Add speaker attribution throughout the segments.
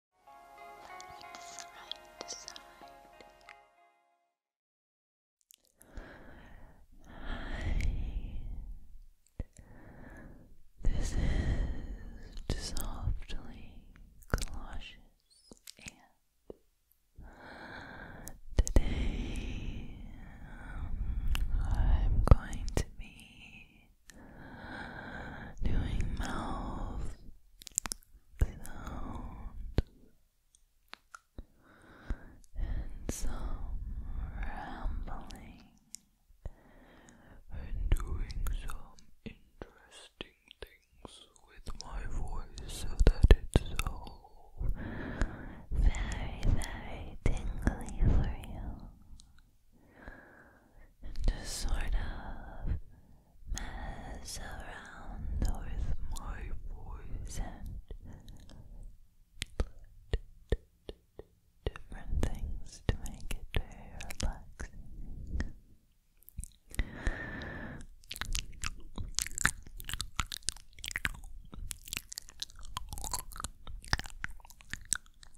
Speaker 1: Look This is to softly cautious and today um, I'm going to be doing mouth sounds and some rambling and doing some interesting things with my voice so that it's all very, very tingly for you and just sort of mess around with my voice and different things to make it very relaxing.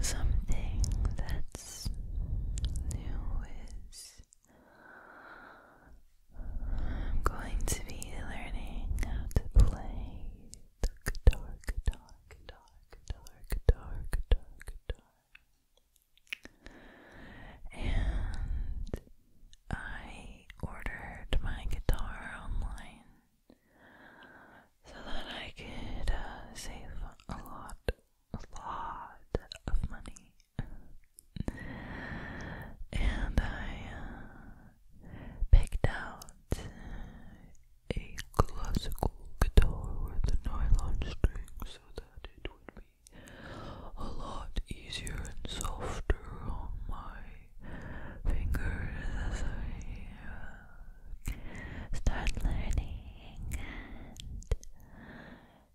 Speaker 1: something that's new is going to be learning how to play the guitar, guitar, guitar, guitar, guitar, guitar, guitar. And I ordered my guitar online so that I could uh, save a lot, a lot of money. and I uh, picked out a classical guitar with a nylon string so that it would be a lot easier and softer on my fingers as I uh, start learning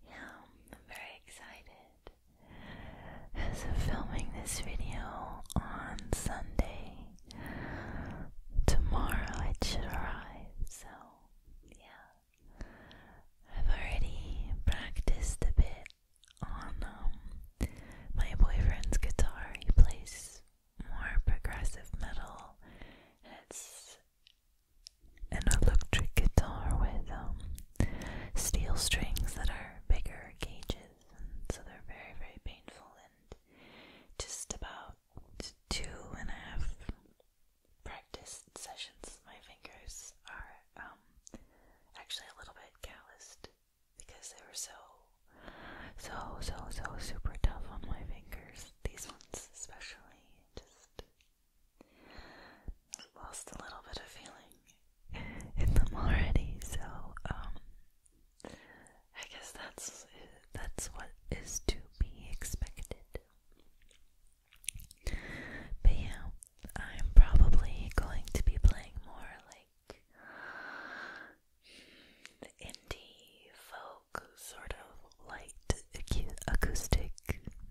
Speaker 1: yeah, I'm very excited. As of filming this video on Sunday, tomorrow it should arrive, so yeah. I've already practiced a bit on um, my boyfriend's guitar. He plays more progressive metal. it's an electric guitar with um, steel strings that are bigger gauges, so they're very, very painful. And just about two and a half practice sessions, my fingers are um, actually a little bit calloused because they were so so, so, so super tough on my fingers. These ones, especially, just lost a little bit of feeling in them already. So, um, I guess that's that's what is to be expected. But yeah, I'm probably going to be playing more like the indie folk sort of light acoustic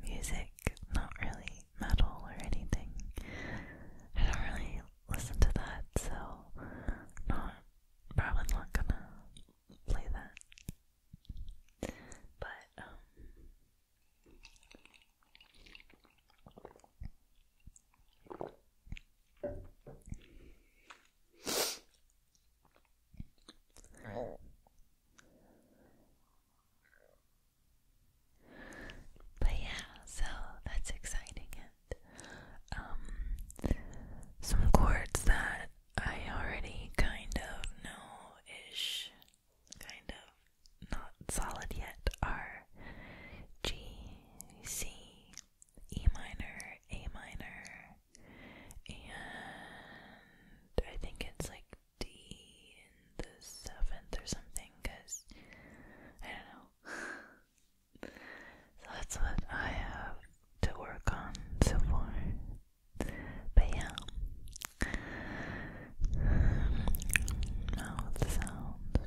Speaker 1: music, not really metal or anything. I don't really listen to that, so not probably not gonna play that. But um, but yeah, so that's exciting. And um, some chords that I already kind of know ish, kind of not solid yet are G, C, E minor, A minor, and I think it's like D in the seventh or something, because I don't know. so that's what I have to work on so far. But yeah, mouth sounds.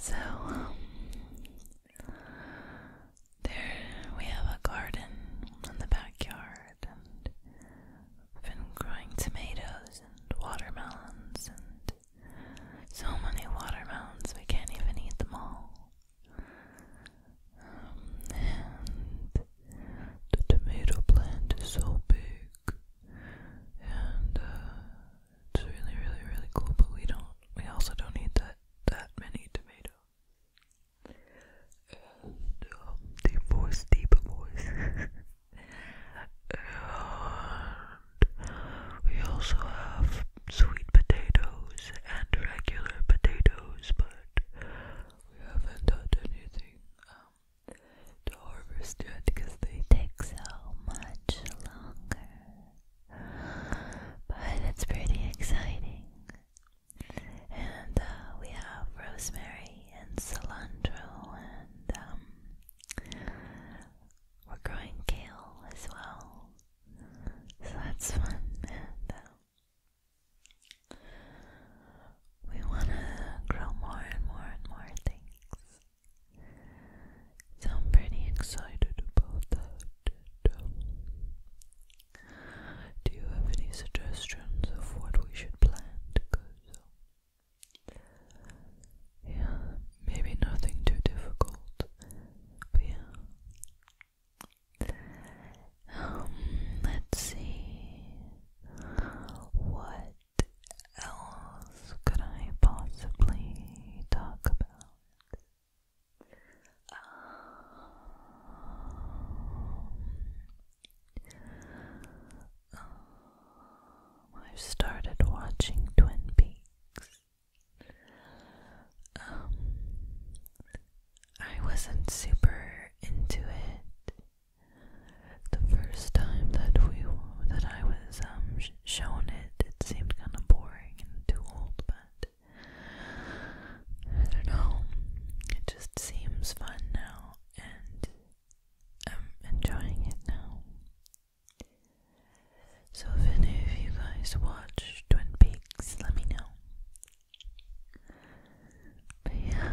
Speaker 1: So, um, there we have a garden in the backyard and we've been growing tomatoes and watermelons and so many watermelons we can't even eat them all. Um, and the tomato plant is so big and uh, it's really, really, really cool, but we don't, we also don't need that, that many tomatoes. deep um, voice, deep voice. and we also have sweet potatoes and regular potatoes, but we haven't done anything, um, to harvest yet because they take so much longer. But it's pretty exciting. And uh, we have rosemary and cilantro, and um, we're growing kale as well. So that's fun. Uh, we want to grow more and more and more things. So I'm pretty excited about that. Do you have any suggestions of what we should plan Yeah, maybe nothing too difficult, but yeah. Um, let's see. What else could I possibly talk about? Um, I've started watching Twin Peaks. Um, I wasn't super into it the first time that we that I was um, shown it, it seemed kind of boring and too old, but I don't know. It just seems fun now, and I'm enjoying it now. So, if any of you guys watch Twin Peaks, let me know. yeah.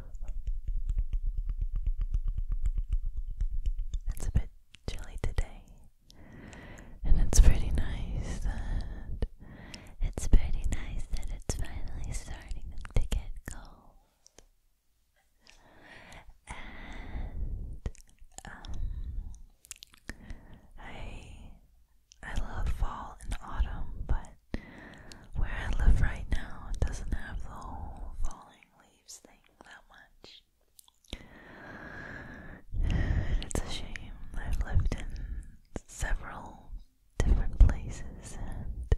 Speaker 1: It's a bit chilly today, and it's pretty nice that it's pretty nice that it's finally starting to get cold. And um, I I love fall and autumn, but where I live right now, doesn't have the whole falling leaves thing that much. it's a shame. I've lived in several different places, and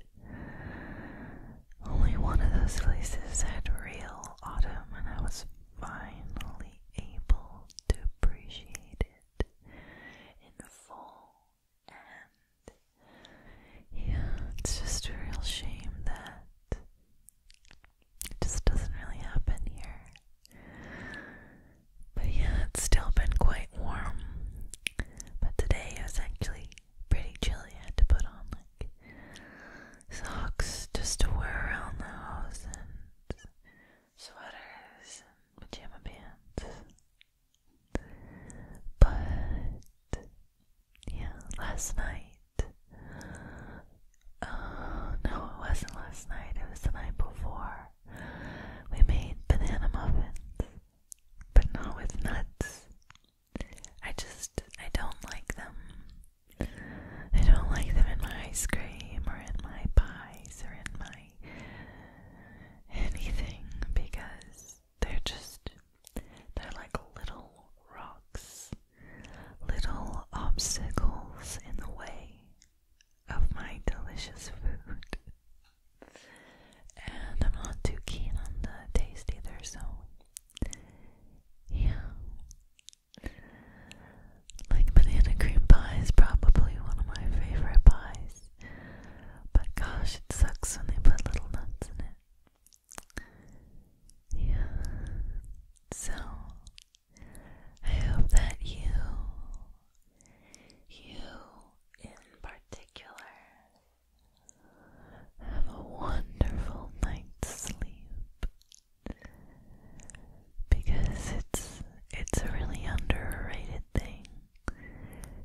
Speaker 1: only one of those places had real autumn, and I was finally able to appreciate it in the fall yeah, it's just a real shame that it just doesn't really happen here. But yeah, it's still been quite warm. But today it was actually pretty chilly. I had to put on like socks just to wear around the house and sweaters and pajama pants. But yeah, last night. Uh, no, it wasn't last night. It was the night before. We made banana muffins, but not with nuts. I just I don't like them. I don't like them in my ice cream or in my pies or in my anything because they're just, they're like little rocks, little obstacles in the way of my delicious food. And I'm not too keen on the taste either, so yeah. Like banana cream pie is probably one of my favorite pies. But gosh, it sucks when they put little nuts in it. Yeah. So I hope that you you in particular have a wonderful night's sleep because it's it's a really underrated thing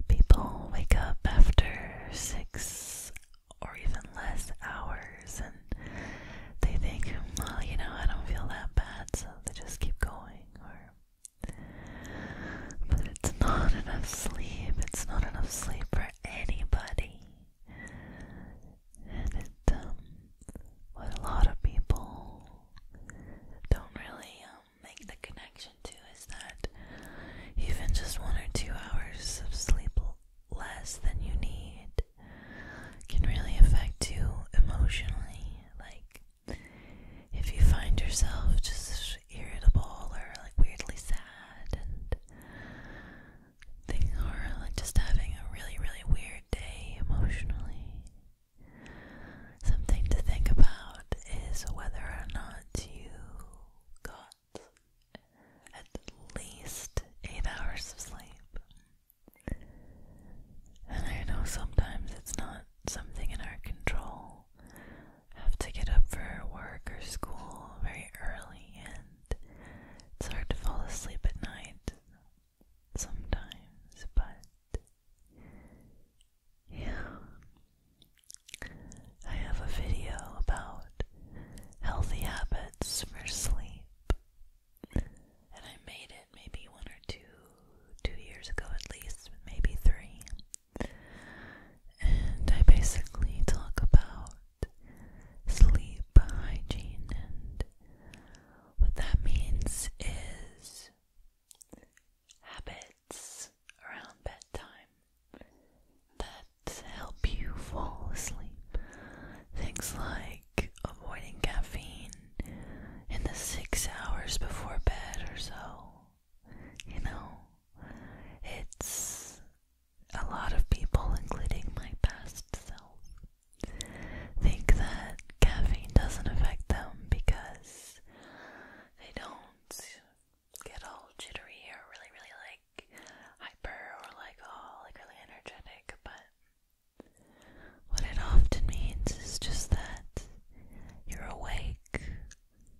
Speaker 1: People wake up after six or even less hours and they think, well, you know, I don't feel that bad, so they just keep going. Or, but it's not enough sleep. It's not enough sleep for anybody. And it, um, what a lot of people don't really, um, make the connection to is that even just one or two hours of sleep less than you need can really affect you emotionally. Like, if you find yourself just irritable or like weirdly sad and things are like just having a really, really weird day emotionally. Something to think about is whether or not you got at least eight hours of sleep. And I know sometimes it's not something in our control. Have to get up for work or school very early, and it's hard to fall asleep at night sometimes, but yeah. I have a video about healthy habits for sleep. And I made it maybe one or two two years ago at least, maybe three. And I basically talk about sleep hygiene and what that means is habits around bedtime that help you fall asleep. Things like avoiding caffeine in the six hours before bed or so. You know, it's a lot of people, including my past self, think that caffeine doesn't affect them because they don't get all jittery or really, really like hyper or like all like really energetic, but what it often means is just that you're awake.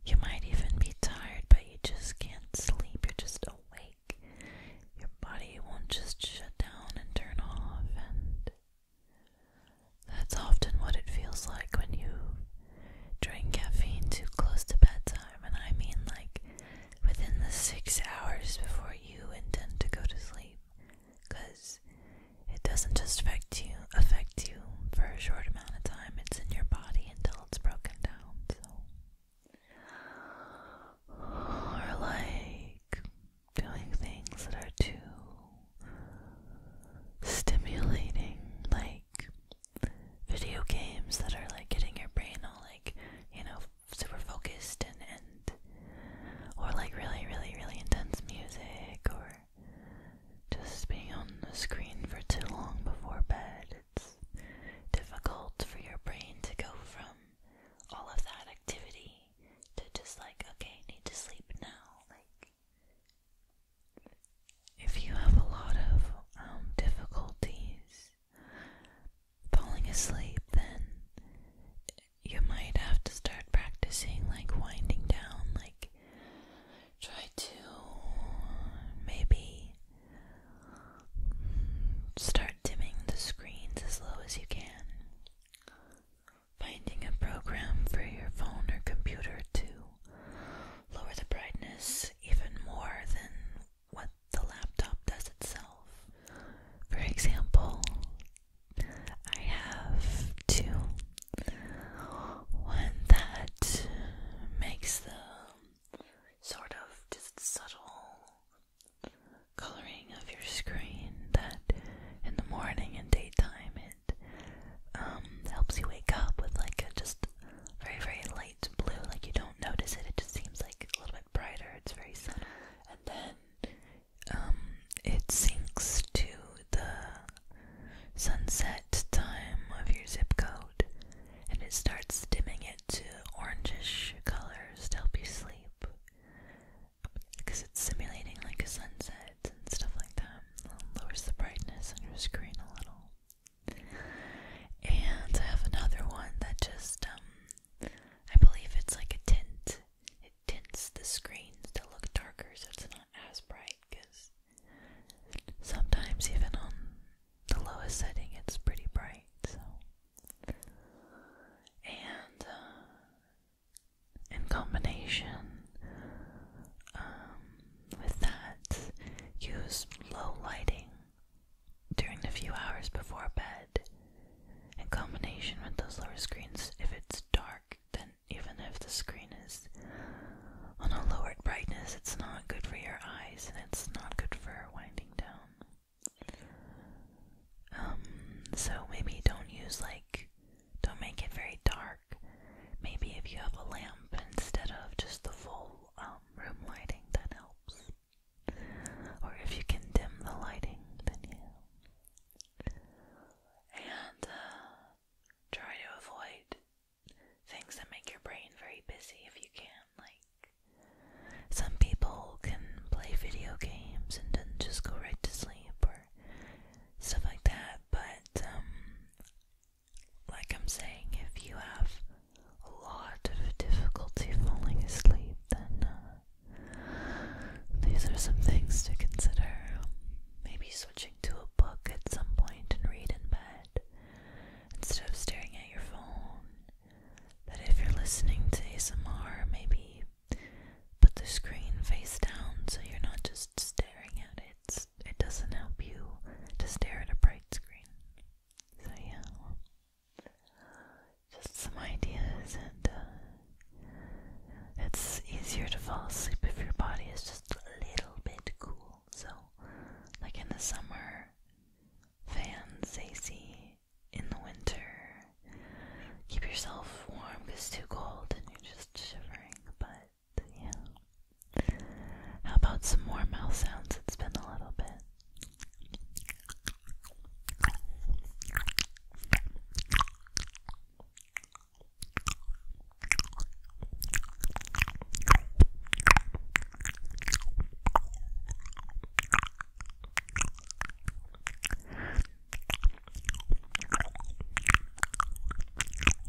Speaker 1: You might even be tired, but you just can't sleep. You're just awake. Your body won't just shut down and turn off, and that's often what it feels like when you drink caffeine too close to bedtime, and I mean like within the six hours before you intend to go to sleep, because it doesn't just affect you affect you for a short amount of time. It's in your body until it's broken down. So, or like doing things that are too stimulating, like video games that are like getting your brain all like, you know, super focused and and or like really really really intense music or just being on the screen for too long before bed. It's difficult for your brain to go from all of that activity to just like, okay, need to sleep now. Like if you have a lot of um, difficulties falling asleep, then you might have to start practicing like winding down, like try to maybe start dimming the screens as low as you can. Finding a program for your phone or computer to lower the brightness even more than what the laptop does itself. For example, I have two. One that makes the sort of just subtle coloring of your screen that in the morning and daytime it um, helps you wake up with like just very, very light blue. Like you don't notice it, it just seems like a little bit brighter. It's very subtle. And then um, it sinks to the sunset time of your zip code and it starts dimming it to orangish colors to help you sleep because it's simulating like a sunset and stuff like that lowers the brightness on your screen a little. And I have another one that just, um, I believe it's like a tint. It tints the screens to look darker so it's not as bright because sometimes, even on the lowest setting, it's pretty bright. So, and uh, in combination, um, with that, use low lighting during the few hours before bed. In combination with those lower screens, if it's dark, then even if the screen is on a lowered brightness, it's not good for your eyes and it's not good for winding down. Um, so maybe don't use like don't make it very dark. Maybe if you have a lamp instead of just the full um, room lighting, that helps. Or if you can dim the lighting, then yeah. And uh, try to avoid things that make your brain very busy if you can. Like, some people can play video games and then just go right to sleep or stuff like that, but um, like I'm saying, if you have a lot of difficulty falling asleep, then uh, these are some things to consider. Maybe switching to a book at some point and read in bed instead of staring at your phone. That if you're listening to ASMR, maybe put the screen face down so you're not just staring at it it doesn't help you to stare at a bright screen. So yeah, just some ideas, and uh, it's easier to fall asleep if your body is just a little bit cool. So, like in the summer, fans, AC. In the winter, keep yourself warm because it's too cold and you're just shivering. But yeah. How about some more mouth sounds? It's been a little bit.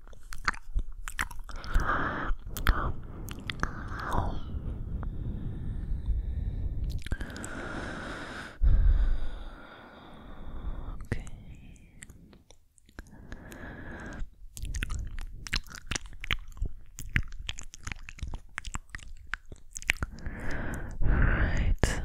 Speaker 1: Okay. Right side.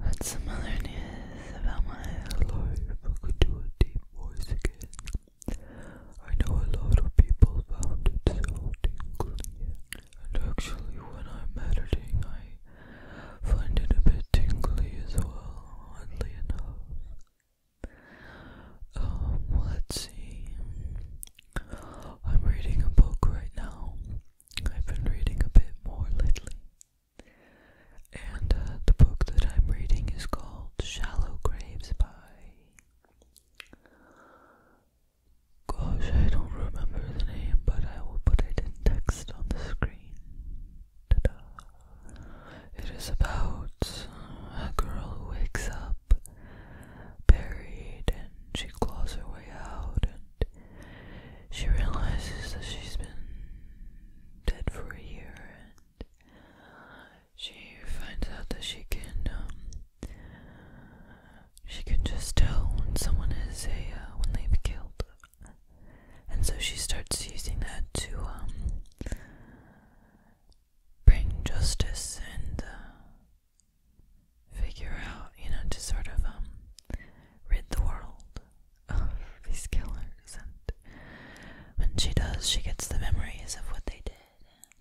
Speaker 1: What's some other news about my life? I could do a deep voice again. I know a lot of people found it so tingling. And actually, when I'm editing, I find it a bit tingly as well, oddly enough. Um, let's see. I'm reading a book right now. I've been reading a bit more lately. And uh, the book that I'm reading is called Shallow Graves by. Gosh, I don't remember the name, but I will put it in text on the screen. is about uh, a girl who wakes up buried and she claws her way out and she realizes that she's been dead for a year and she finds out that she can um, she can just tell when someone is a uh, when they've killed and so she starts using that to um, bring justice and uh, figure out you know to sort of um, rid the world of these killers, and when she does, she gets the memories of what they did.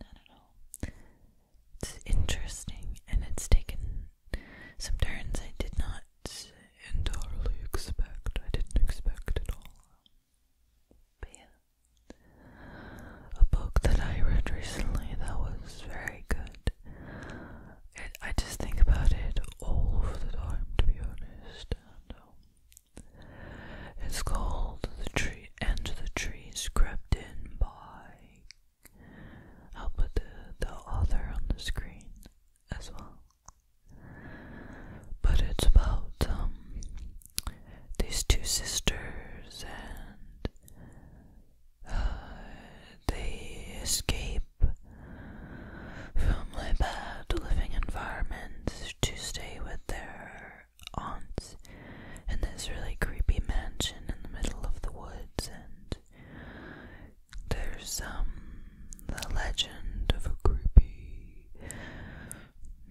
Speaker 1: I don't know. It's interesting, and it's taken some turns I did not entirely expect. I didn't expect at all. But yeah, a book that I read recently that was very good I just think about it all the time, to be honest. And, um, it's called The Tree and the Trees Crept In by. I'll put the, the author on the screen as well. But it's about um, these two sisters and uh, they escape escape from the bad living environments to stay with their aunts in this really creepy mansion in the middle of the woods and there's um the legend of a creepy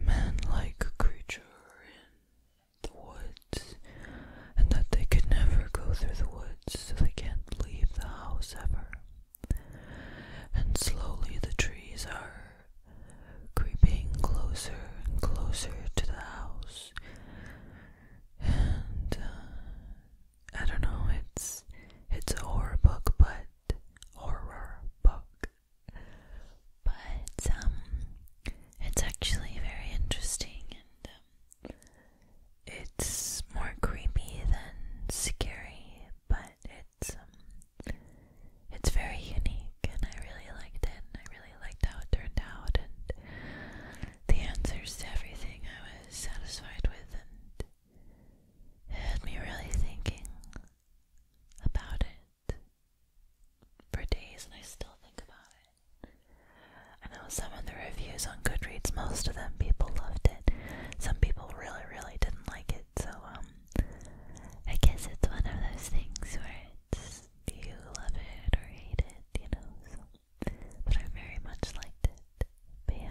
Speaker 1: man-like creature in the woods and that they could never go through the woods so they can't leave the house ever. And slowly the trees are creeping closer and closer to the house. And uh, I don't know, it's it's horror book, but horror book. But um, it's actually very interesting and um, it's more creepy than scary, but it's um, it's very unique, and I really liked it. And I really liked how it turned out, and the answers to everything I was satisfied with, and it had me really thinking about it for days, and I still think about it. I know some of the reviews on Goodreads, most of them people loved it. Some people really, really didn't like it, so um I guess it's one of those things where it's you love it or hate it, you know, so but I very much liked it. But yeah.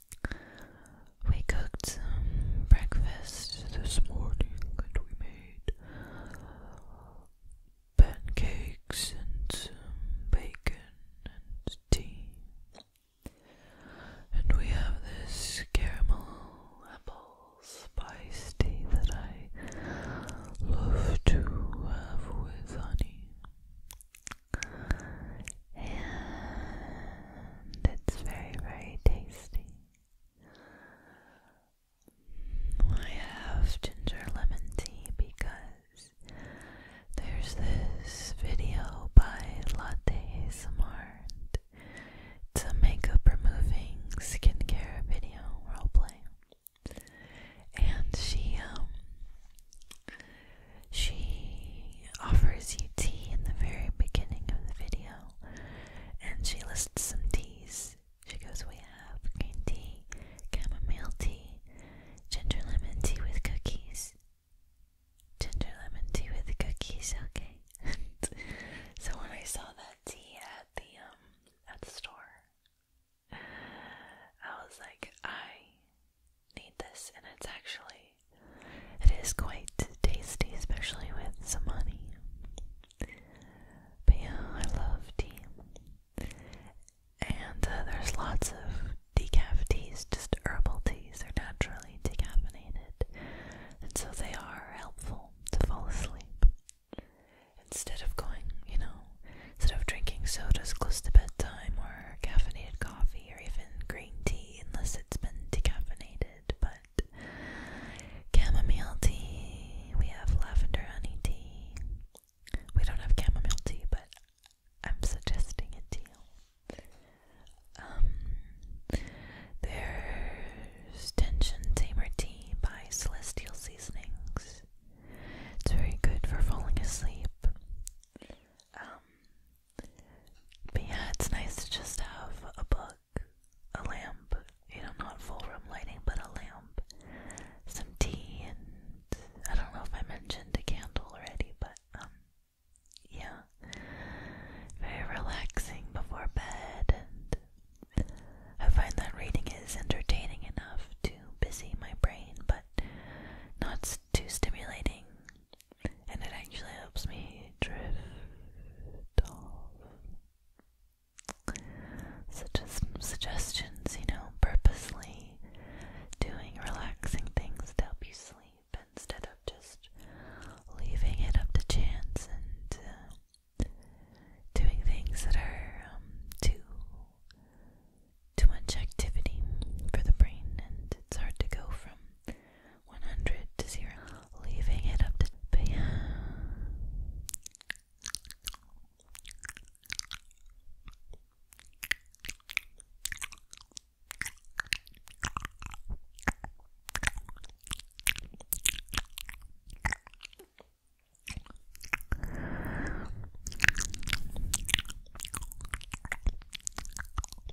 Speaker 1: We cooked um, breakfast this morning and we made pancakes and some bacon and tea. And we have this caramel apple spice tea that I love to have with honey and it's very, very tasty. I have ginger lemon tea because there's this video by Latte Smart. It's a makeup removing skincare video roleplay. And she um she offers you tea in the very beginning of the video, and she lists some teas. She goes, We have green tea, chamomile tea, ginger lemon tea with cookies. Ginger lemon tea with cookies, okay. so when I saw that tea at the um at the store, I was like, I need this, and it's actually it is quite tasty, especially with some honey. But yeah, I love tea, and uh, there's lots of decaf teas, just herbal teas. They're naturally decaffeinated, and so they are helpful to fall asleep. Instead of going, you know, instead of drinking sodas close to bedtime or caffeinated coffee or even green tea unless it's been decaffeinated, but chamomile tea, we have lavender honey tea. We don't have chamomile tea, but I'm suggesting it to you. Um, there's Tension Tamer Tea by Celestial Seasonings. It's very good for falling asleep. Um, but yeah, it's nice to just have a book, a lamp, you know, not full room lighting, but a lamp, some tea, and I don't know if I mentioned a candle already, but um, yeah, very relaxing before bed, and I find that reading is entertaining enough to busy my brain, but not too stimulating and it actually helps me drift off. Such as suggestions, you know, purposely doing relaxing things to help you sleep instead of just leaving it up to chance and uh, doing things that are um, too too much activity for the brain, and it's hard to go from 100 to 0, leaving it up to Bam.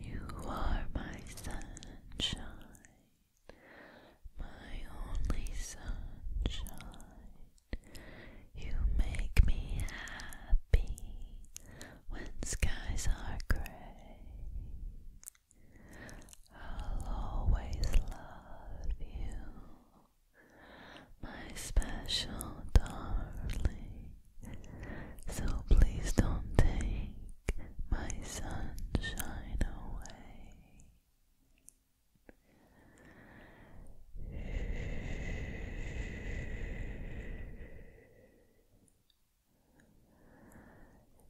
Speaker 1: You are my sunshine, my only sunshine. You make me happy when skies are gray. I'll always love you, my special darling. So please don't take my sunshine away.